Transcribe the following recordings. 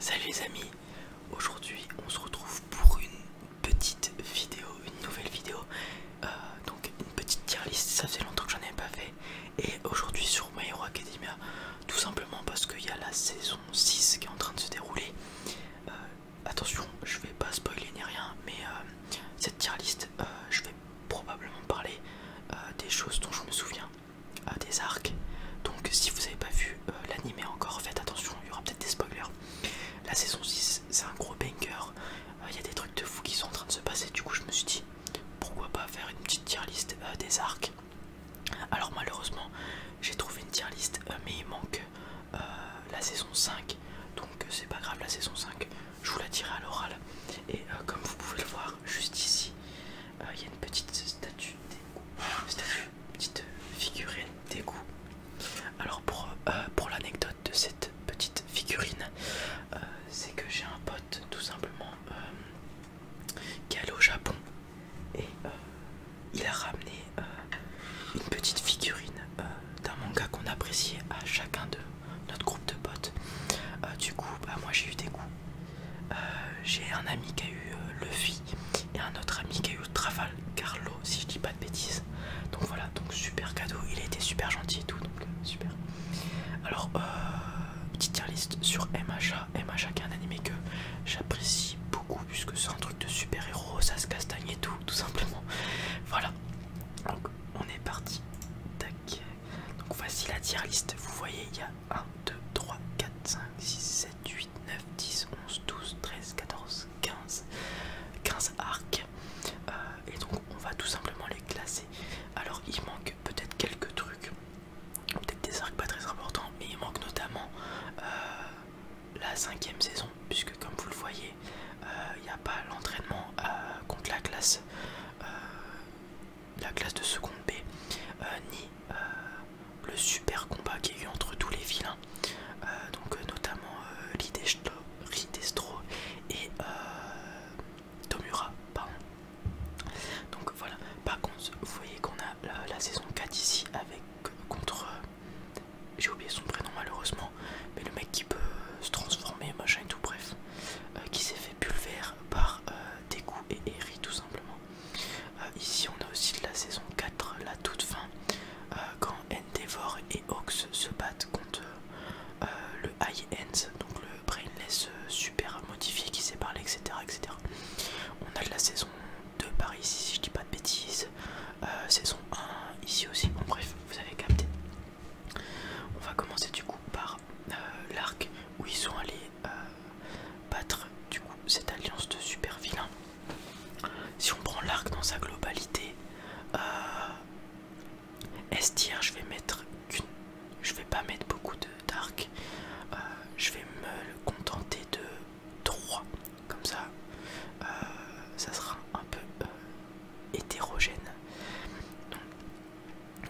Salut les amis, aujourd'hui on se retrouve pour une petite vidéo, une nouvelle vidéo, euh, donc une petite tier list, ça fait longtemps que j'en ai pas fait, et aujourd'hui sur My Hero Academia, tout simplement parce qu'il y a la saison 6 qui est en train de se dérouler. Euh, attention, je vais pas spoiler ni rien, mais euh, cette tier list, je vais probablement parler des choses dont je me souviens euh, des arcs. Donc si vous n'avez pas vu l'anime euh, l'animé encore, faites attention, il y aura peut-être des spoilers. La saison 6, c'est un gros banger. Euh, il y a des trucs de fou qui sont en train de se passer. Du coup, je me suis dit, pourquoi pas faire une petite tier list des arcs. Alors malheureusement, j'ai trouvé une tier list, mais il manque la saison 5. Donc c'est pas grave, la saison 5, je vous la dirai à l'oral. Et comme vous pouvez le voir, juste ici, euh, il y a une petite statue d'égout, petite figurine goûts Alors euh, pour, l'anecdote de cette petite figurine, euh, c'est que j'ai un pote tout simplement qui est allé au Japon et il a ramené une petite figurine d'un manga qu'on appréciait à chacun de notre groupe de potes. du coup, bah, moi j'ai eu des goûts euh, j'ai un ami qui a eu euh, Luffy et un autre ami qui a eu Carlo si je dis pas de bêtises. Donc voilà, donc super cadeau. Il a été super gentil et tout, donc euh, super. Alors, petite tier list sur MHA. MHA qui est un anime que j'apprécie beaucoup puisque c'est un truc de super héros, ça se castagne et tout, tout simplement. Voilà, donc on est parti. Tac. Donc voici la tier list. Vous voyez, il y a 1, 2, 3, 4, 5, 6, 7, 8, 9, 10, 11, 12, 13, 14, 15, 15 arcs. Euh, et donc on va tout simplement les classer. Alors il manque peut-être quelques trucs, peut-être des arcs pas très importants, mais il manque notamment euh, la cinquième saison, puisque comme vous le voyez, euh, il n'y a pas l'entraînement contre la classe la classe de seconde B, euh, ni euh, le super combat qu'il y a eu entre tous les vilains, euh, donc notamment Lidestro, et Tomura. Pardon. Donc voilà, par contre, vous voyez qu'on a la, saison 4 ici avec contre. J'ai oublié son prénom malheureusement, mais le mec qui peut se transformer, machin tout, bref, qui s'est fait pulver par. Deku et Eri tout simplement. Euh, ici on a aussi de la saison 4, la toute fin, quand euh, quand Endeavor et Ox se battent contre euh, le High End, donc le Brainless super modifié qui s'est etc., etc. On a de la saison 2 par ici si je dis pas de bêtises, saison 1 ici aussi, bon bref, vous avez capté. On va commencer du coup par euh, l'arc où ils sont allés euh, battre du coup cette alliance de super vilains. Si on prend l'arc dans sa globalité, euh, Estir, je vais mettre je vais pas mettre beaucoup d'arc, euh, je vais me contenter de 3, comme ça, ça sera un peu hétérogène.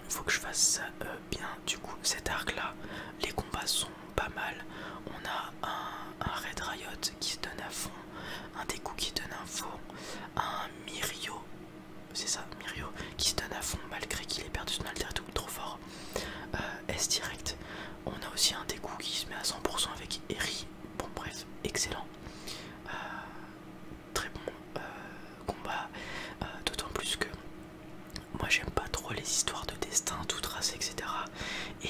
Il faut que je fasse ça euh, bien. Du coup, cet arc là, les combats sont pas mal. On a un, Red Riot qui se donne à fond, un Deku qui donne à fond, un Mirio, c'est ça, Mirio qui se donne à fond malgré qu'il ait perdu son alter trop fort. Euh, S direct, on a aussi un Deku qui se met à 100% avec Eri. Bon, bref, excellent. Euh, très bon euh, combat, euh, d'autant plus que moi j'aime pas trop les histoires de destin, tout tracé, etc. Et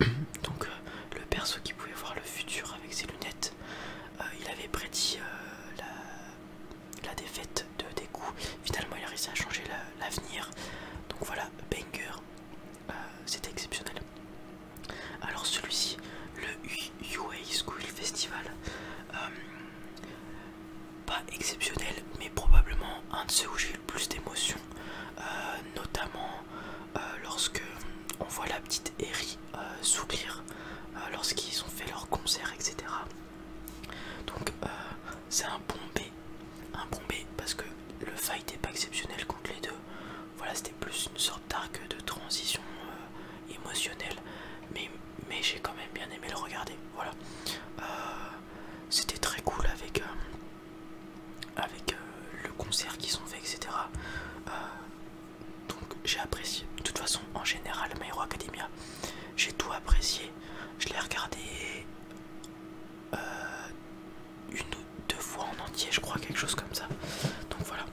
euh, donc le perso qui pouvait voir le futur avec ses lunettes, il avait prédit la, défaite de des coups Finalement il a réussi à changer l'avenir. donc voilà, banger, c'était exceptionnel. Alors celui-ci, le U. UA School Festival. Euh, pas exceptionnel, mais probablement un de ceux où j'ai eu le plus d'émotions, euh, notamment euh, lorsque on voit la petite Eri euh, lorsqu'ils ont fait leur concert, etc. Donc c'est un bon B, un bombé parce que le fight n'est pas exceptionnel contre les deux. Voilà, c'était plus une sorte d'arc de transition émotionnelle, mais mais j'ai quand même bien aimé le regarder. Voilà, euh, c'était très cool avec, euh, avec euh, le concert qu'ils ont fait, etc. donc j'ai apprécié. De toute façon, en général, My Academia, j'ai tout apprécié. Je l'ai regardé une ou deux fois en entier, je crois, quelque chose comme ça. Donc voilà.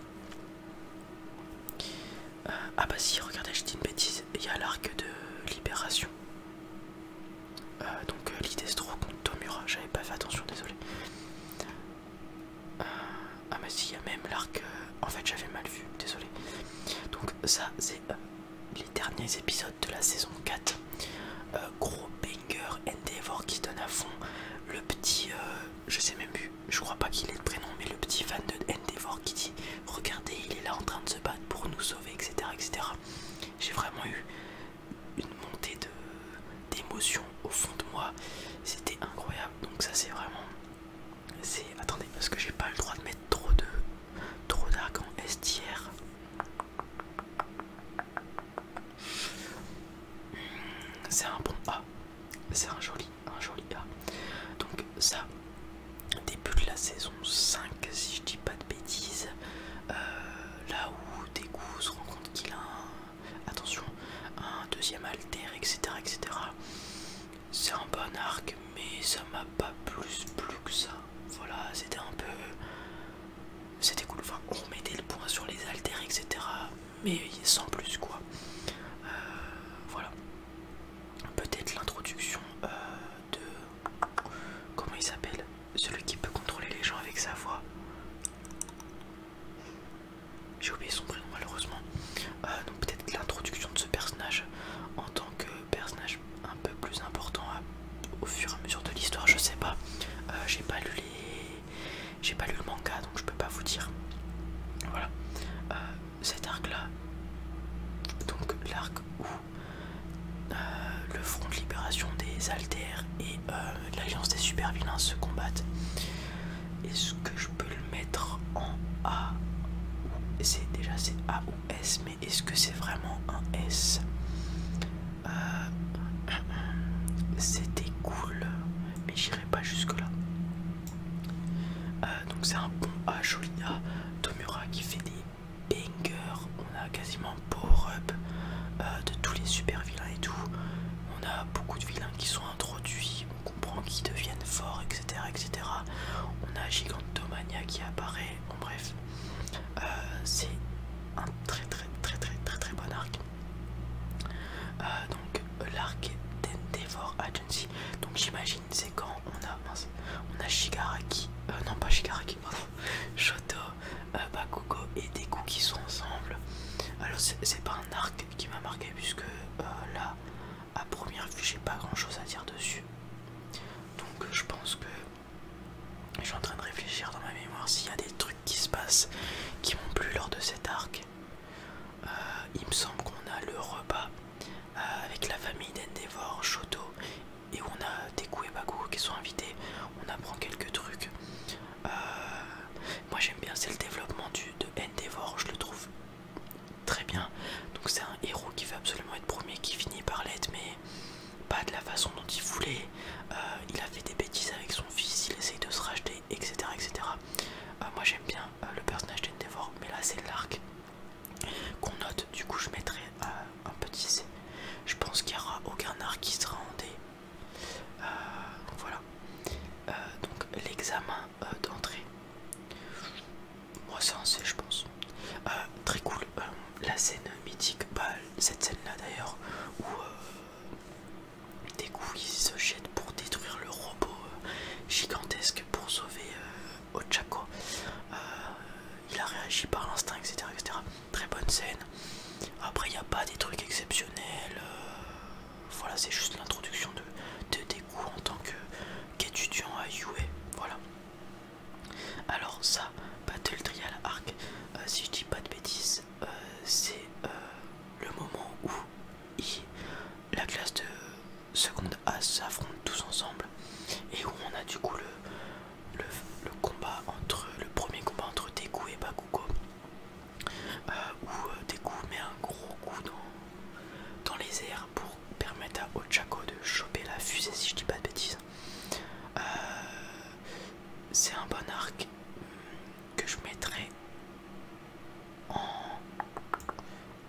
Euh, ah bah si, regardez, je dis une bêtise, il y a l'arc de libération. Euh, donc euh, l'idée c'est trop contre Tomura, j'avais pas fait attention, désolé. ah bah si, il y a même l'arc, en fait j'avais mal vu, désolé. Donc ça c'est les derniers épisodes de la saison 4. gros banger Endeavor qui donne à fond. Le petit, je sais même plus, je crois pas qu'il ait le prénom, mais le petit fan de Endeavor qui dit Regardez, il est là en train de se battre pour nous sauver, etc. etc. J'ai vraiment eu une montée d'émotion au fond de moi, c'était incroyable. Donc, ça, c'est vraiment. Attendez, parce que j'ai pas le droit de mettre trop de trop d'arc en STR. C'est un bon A c'est un joli, un joli A. Donc ça, début de la saison 5 si je dis pas de bêtises, euh, là où des se rend compte qu'il a un, attention, un deuxième alter, etc. etc. C'est un bon arc, mais ça m'a pas plus plu que ça. Voilà, c'était un peu... C'était cool, enfin on mettait le point sur les alters, etc mais sans plus quoi. Euh, voilà. Peut-être l'introduction euh, de... Comment il s'appelle Celui qui peut contrôler les gens avec sa voix. J'ai oublié son prénom malheureusement. Euh, donc peut-être l'introduction de ce personnage en tant que personnage un peu plus important au fur et à mesure de l'histoire, je sais pas. J'ai pas lu les... J'ai pas lu le manga donc je peux pas vous dire. Voilà. Euh, cet arc là, donc l'arc où euh, le front de libération des Altères et euh, l'alliance des super vilains se combattent. Est-ce que je peux le mettre en A c'est déjà c'est A ou S mais est-ce que c'est vraiment un S C'était cool mais j'irai pas jusque là euh, donc c'est un bon à Tomura qui fait des bangers. On a quasiment power-up euh, de tous les super vilains et tout. On a beaucoup de vilains qui sont introduits, on comprend qu'ils deviennent forts, etc. etc. On a Gigantomania qui apparaît, en bref. Euh, c'est un très très très très très très bon arc. Euh, donc l'arc d'Endevor Agency. Donc j'imagine c'est quand on a on a Shigaraki, euh, non pas Shigaraki, Shoto, euh, Bakugo et Deku qui sont ensemble. Alors c'est pas un arc qui m'a marqué puisque là à première vue j'ai pas grand chose à dire dessus. Donc je pense que je suis en train de réfléchir dans ma mémoire s'il y a des trucs qui se passent qui m'ont plu lors de cet arc. Euh, il me semble qu'on a le repas euh, avec la famille d'Endevor Shoto et on a Deku et Baku qui sont invités, on apprend quelques trucs. Euh, moi j'aime bien, c'est le développement de Endeavor, je le trouve très bien. Donc c'est un héros qui veut absolument être premier, qui finit par l'être, mais pas de la façon dont il voulait. il a fait des bêtises avec son fils, il essaye de se racheter, etc. etc. Euh, moi j'aime bien euh, le personnage d'Endevor mais là c'est l'arc qu'on note. Du coup, je mettrai euh, un petit C. Je pense qu'il n'y aura aucun arc qui sera en D. voilà. donc l'examen d'entrée. Moi c'est un je pense. très cool. la scène mythique, pas bah, cette scène là d'ailleurs, où. Des il se jette pour détruire le robot euh, gigantesque pour sauver euh, Ochako. Euh, il a réagi par l'instinct, etc., Très bonne scène. Après, il n'y a pas des trucs exceptionnels. voilà, c'est juste l'introduction de, Deku en tant qu'étudiant à Yue Voilà. Alors, ça, Battle Trial Arc, si je dis pas de bêtises, c'est le moment où et la classe de seconde A s'affrontent tous ensemble et où on a du coup le, combat entre le premier combat entre Deku et Bakugo euh, où euh, Deku met un gros coup dans, les airs pour permettre à Ochako de choper la fusée si je dis pas de bêtises euh, c'est un bon arc que je mettrai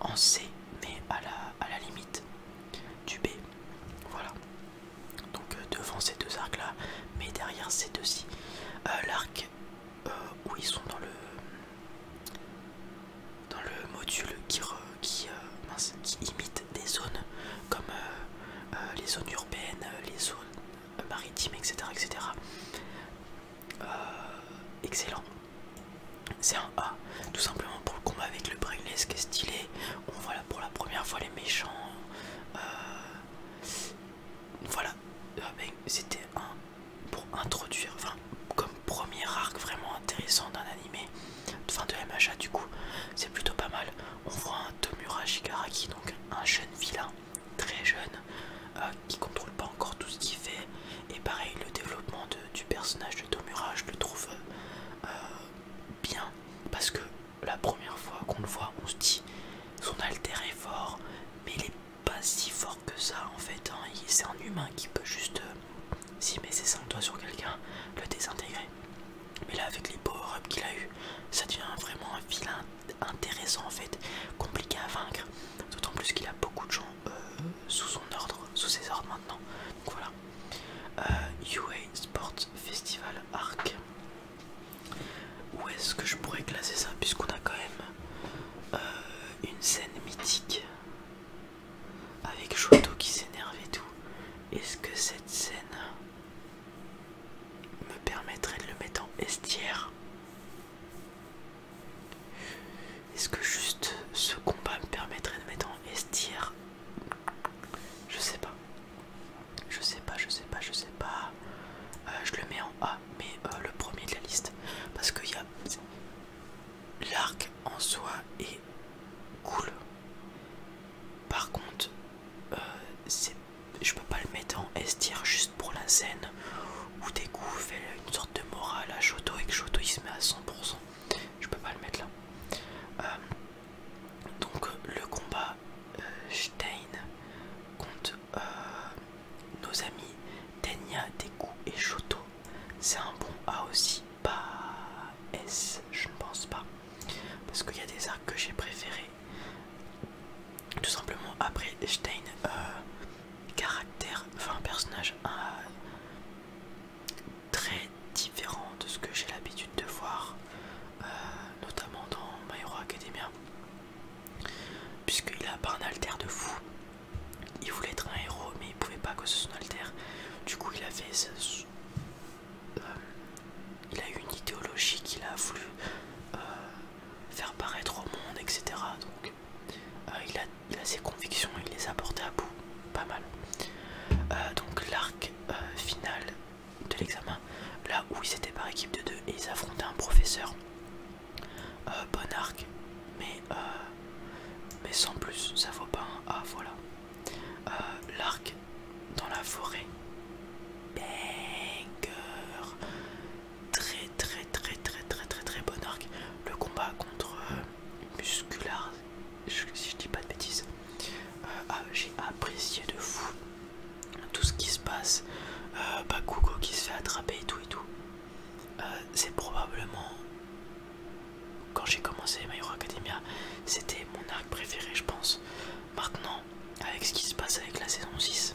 en, C, mais à la, limite du B. Voilà. Donc euh, devant ces deux arcs là, mais derrière ces deux-ci. Euh, l'arc euh, où ils sont dans le dans le module qui, imite des zones comme les zones urbaines, les zones maritimes, etc. etc. Euh, excellent. C'est un A, tout simplement pour le combat avec le brainless qui est stylé. On voit là pour la première fois les méchants. Euh, voilà, ah ben, c'était un pour introduire, enfin, comme premier arc vraiment intéressant d'un anime enfin de MHA du coup, c'est plutôt pas mal. On voit un Tomura Shigaraki, donc un jeune vilain très jeune euh, qui contrôle pas encore tout ce qu'il fait et pareil le développement du personnage de Tomura je le trouve euh, bien parce que la première fois qu'on le voit on se dit son alter est fort mais il est pas si fort que ça en fait hein. c'est un humain qui peut juste euh, s'y si met ses 5 doigts sur quelqu'un le désintégrer mais là avec les power-ups qu'il a eu ça devient vraiment un vilain intéressant en fait, compliqué à vaincre, d'autant plus qu'il a beaucoup de gens euh, sous son ordre, sous ses ordres maintenant. Donc voilà. UA euh, Sports Festival Arc. Où est-ce que je pourrais classer ça puisqu'on a quand même euh, une scène mythique avec Shoto qui s'énerve et tout. Est-ce que cette scène me permettrait de le mettre en estière. Est-ce que juste ce combat me permettrait de mettre en estière Je sais pas. Je sais pas, je sais pas, je sais pas. Euh, je le mets en A, mais euh, le premier de la liste. Parce que y a... l'arc en soi est cool. Par contre, euh, c'est je peux pas le mettre en S tier juste pour la scène où Deku fait une sorte de morale à Shoto et que Shoto il se met à 100%. Je peux pas le mettre là. Euh, donc le combat euh, Stein contre euh, nos amis Tenya, Deku et Shoto. C'est un bon A aussi, pas S, je ne pense pas. Parce qu'il y a des arcs que j'ai préférés tout simplement après Stein euh, caractère enfin personnage euh, très différent de ce que j'ai l'habitude de voir euh, notamment dans My Hero Academia puisqu'il a pas un alter de fou il voulait être un héros mais il pouvait pas que ce soit alter du coup il a fait il a une idéologie qu'il a voulu faire paraître au monde, etc. Donc euh, il, a, ses convictions, il les a portées à bout, pas mal. Euh, donc l'arc euh, final de l'examen, là où ils étaient par équipe de deux et ils affrontaient un professeur, bon arc, mais, mais sans plus, ça vaut pas un voilà. l'arc dans la forêt, banger. Très très très très très très très bon arc. Le combat contre euh, si je dis pas de bêtises, euh, ah, j'ai apprécié de fou tout ce qui se passe. Euh, Bakugo qui se fait attraper et tout et tout. Euh, c'est probablement quand j'ai commencé My Hero Academia, c'était mon arc préféré, je pense. Maintenant, avec ce qui se passe avec la saison 6.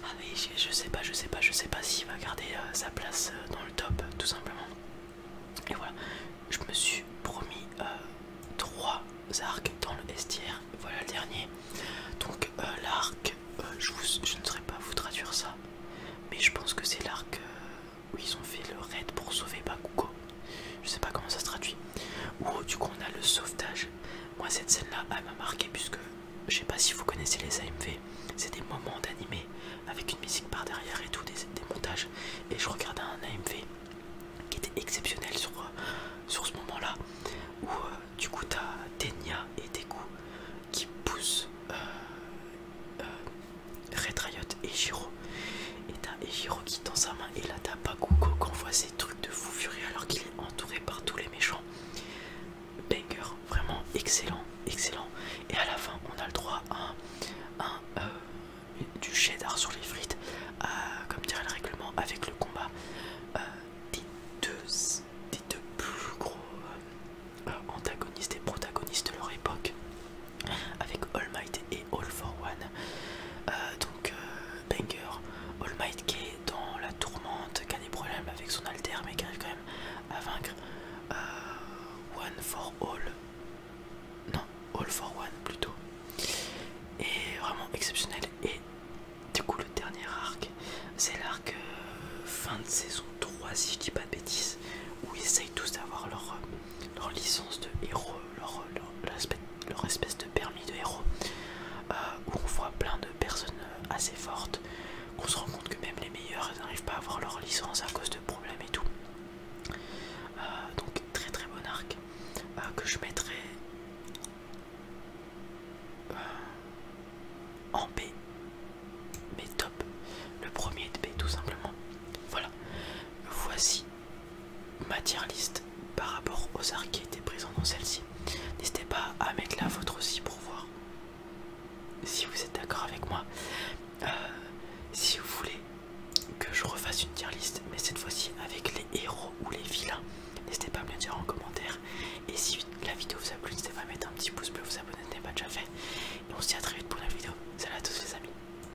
Ah je, sais pas, je sais pas, je sais pas s'il va garder euh, sa place euh, dans le top, tout simplement. Et voilà, je me suis promis euh, trois 3 arcs dans le STR, voilà le dernier. Donc l'arc, je, ne saurais pas vous traduire ça, mais je pense que c'est l'arc où ils ont fait le raid pour sauver Bakugo je sais pas comment ça se traduit. Ou du coup on a le sauvetage. Moi cette scène là elle m'a marqué puisque je sais pas si vous connaissez les AMV, c'est des moments d'animé avec une musique par derrière et tout, des, montages. Et je regardais un AMV qui était exceptionnel sur, euh, ce moment là où euh, du coup t'as Tenya et Deku qui poussent euh, euh et Jiro et t'as Ejiroki dans sa main, et là t'as Quand qu'on voit ces trucs de fou furieux alors qu'il est entouré par tous les méchants. Banger, vraiment excellent, excellent. Et à la fin, on a le droit à un, du euh, du sur les frites, comme dirait le règlement, avec le combat euh, des, deux, plus gros euh, antagonistes et protagonistes de leur époque avec All Might et All for One. Euh, donc euh, Banger, All Might qui est dans la tourmente, qui a des problèmes avec son alter mais qui arrive quand même à vaincre euh, One for All. Non, All for One plutôt. Et vraiment exceptionnel. Et du coup le dernier arc, c'est l'arc fin de saison 3 si je dis pas de bêtises, où ils essayent tous d'avoir leur leur licence de héros, leur, espèce de permis de héros, euh, où on voit plein de personnes assez fortes, qu'on se rend compte que même les meilleurs n'arrivent pas à avoir leur licence à cause de problèmes et tout. Euh, donc très très bon arc euh, que je mettrai en B, mais top, le premier de B tout simplement. Voilà, voici tier liste par rapport aux arcs qui étaient présents dans celle-ci. N'hésitez pas à mettre la vôtre aussi pour voir si vous êtes d'accord avec moi. Euh, si vous voulez que je refasse une tier list, mais cette fois-ci avec les héros ou les vilains, n'hésitez pas à me le dire en commentaire. Et si la vidéo vous a plu, n'hésitez pas à mettre un petit pouce bleu, vous abonner si ce n'est pas déjà fait. Et on se dit à très vite pour la vidéo. Salut à tous les amis.